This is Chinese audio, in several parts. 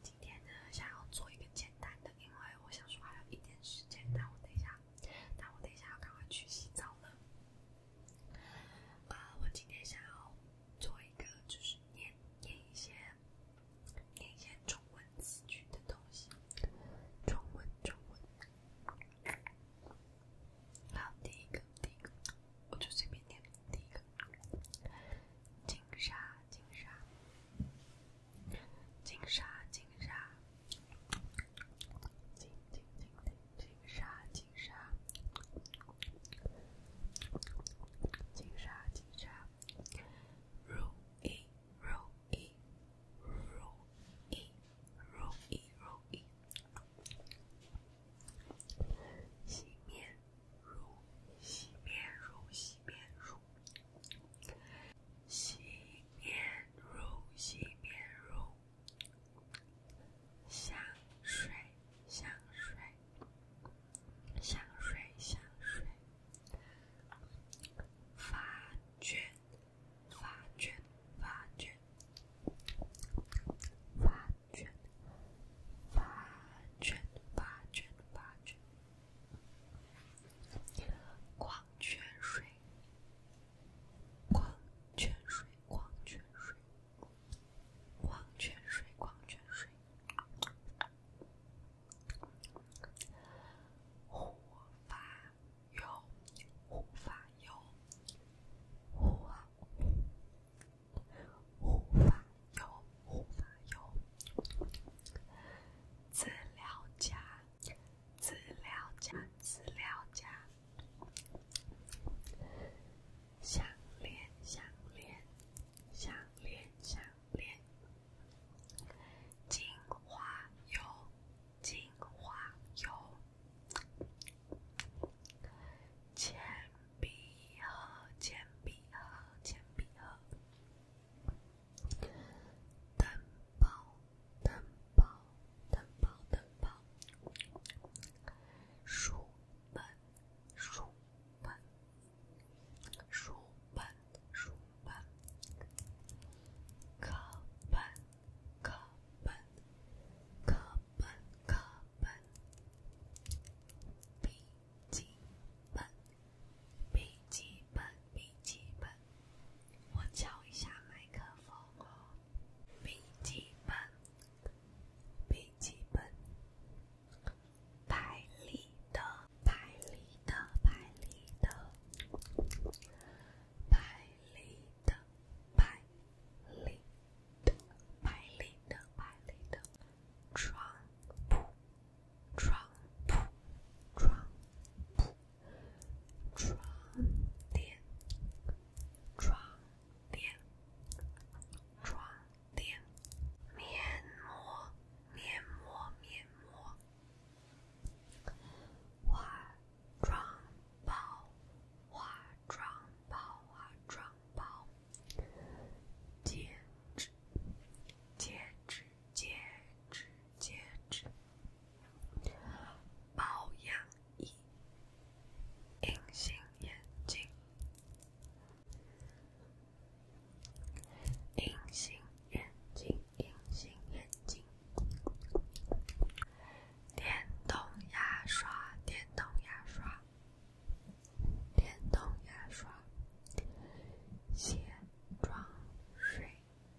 今天呢，想要做一个简单的，因为我想说还有一天时间，但我等一下，但我等一下要赶快去洗澡了。我今天想要做一个，就是念念一些念一些中文词句的东西，中文中文。好，第一个第一个，我就随便念第一个。金沙，金沙，金沙，金沙，金金金金金沙，金沙，金沙，如意，如意，如意，如意，如意，熄灭。如洗面乳，洗面乳，洗面乳，洗面乳，香水，香水，香水，香水，发卷，发卷，发卷，发。泉，发泉，泉，泉，矿泉水，矿泉水，矿泉水，矿泉水，矿泉水，护发油，护发油，护。护发油，护发油，滋养加，滋养加，滋养加，项链，项链，项链，项链，精华油，精华油。铅笔盒，铅笔盒，铅笔盒；灯泡，灯泡，灯泡，灯泡；书本，书本，书本，书本；课本。课本，课本，课本，笔记本，笔记本，笔记本。我敲一下麦克风。哦，笔记本，笔记本，拍立得、拍立得、拍立得、拍立。的白领的白领的白领的床铺床铺床铺床垫床垫床垫面膜面膜面膜玩。妆包，化妆包，化妆包，戒指，戒指，戒指，戒指，保养仪，隐形眼镜，隐形眼镜。隐形眼镜，电动牙刷，电动牙刷，电动牙刷，卸妆水，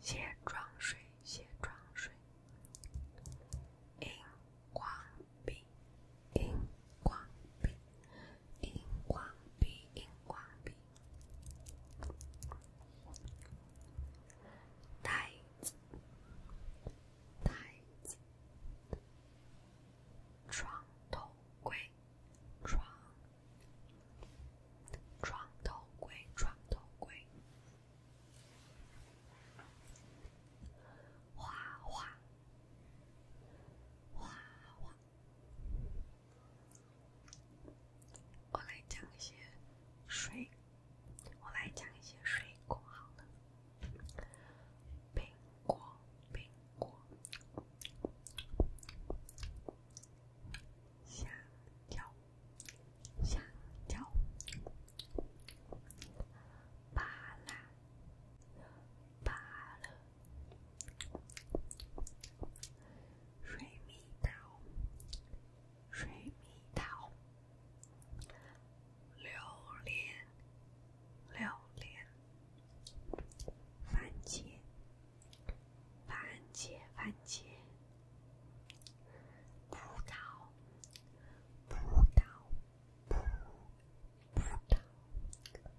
卸妆水，卸妆水，荧光笔，荧光笔，荧光笔，荧光笔。袋子，袋子，床头柜，床，头柜，床头柜，花花，花花。我来讲一些水，我来讲一些水果，好了，苹果，苹果，香蕉，香蕉，芭乐，芭乐。水蜜桃，水蜜桃，榴莲，榴莲，番茄，番茄，番茄，葡萄，葡萄，葡，萄。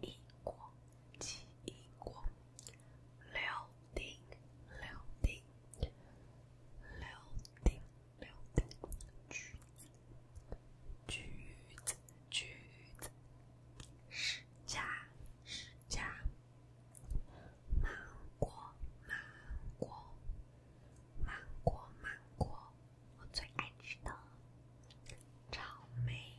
一锅，几一锅，六丁，六丁，六丁，六丁，橘子，橘子，橘子，十子，十子，芒果，芒果，芒果，芒果，我最爱吃的草莓。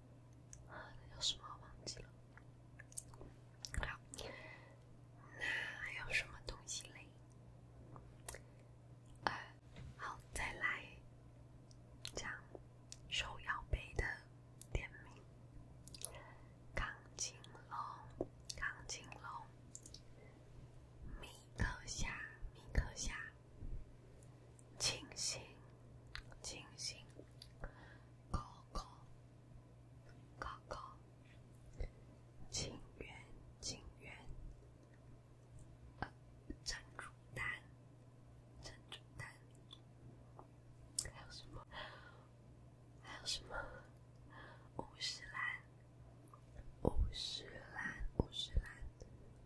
那叫什么我忘记了。那还有什么东西嘞？呃，好，再来讲手摇杯的点名：钢筋龙，钢筋龙，米克虾，米克虾。清新，清新，高高，高高，情缘，情缘，珍珠丹，珍珠丹，还有什么？还有什么？乌石兰，五十兰，五十兰。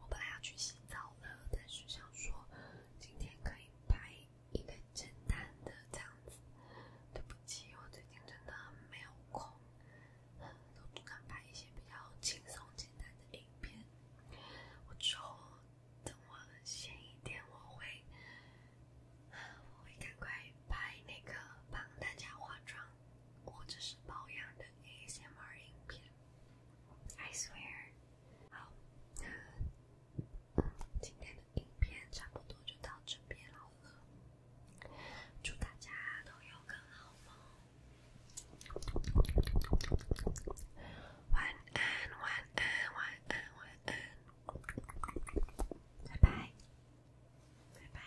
我本来要去洗澡了，但是想说今天可以拍一个简单的这样子。对不起，我最近真的没有空，都不敢拍一些比较轻松简单的影片。我抽，等我闲一点，我会，我会赶快拍那个帮大家化妆或者是保养的 A M R 影片。I swear。好，那今天的影片差不多就到这边好了。祝大家都有个好梦，晚安，晚安，晚安，晚安，拜拜，拜拜。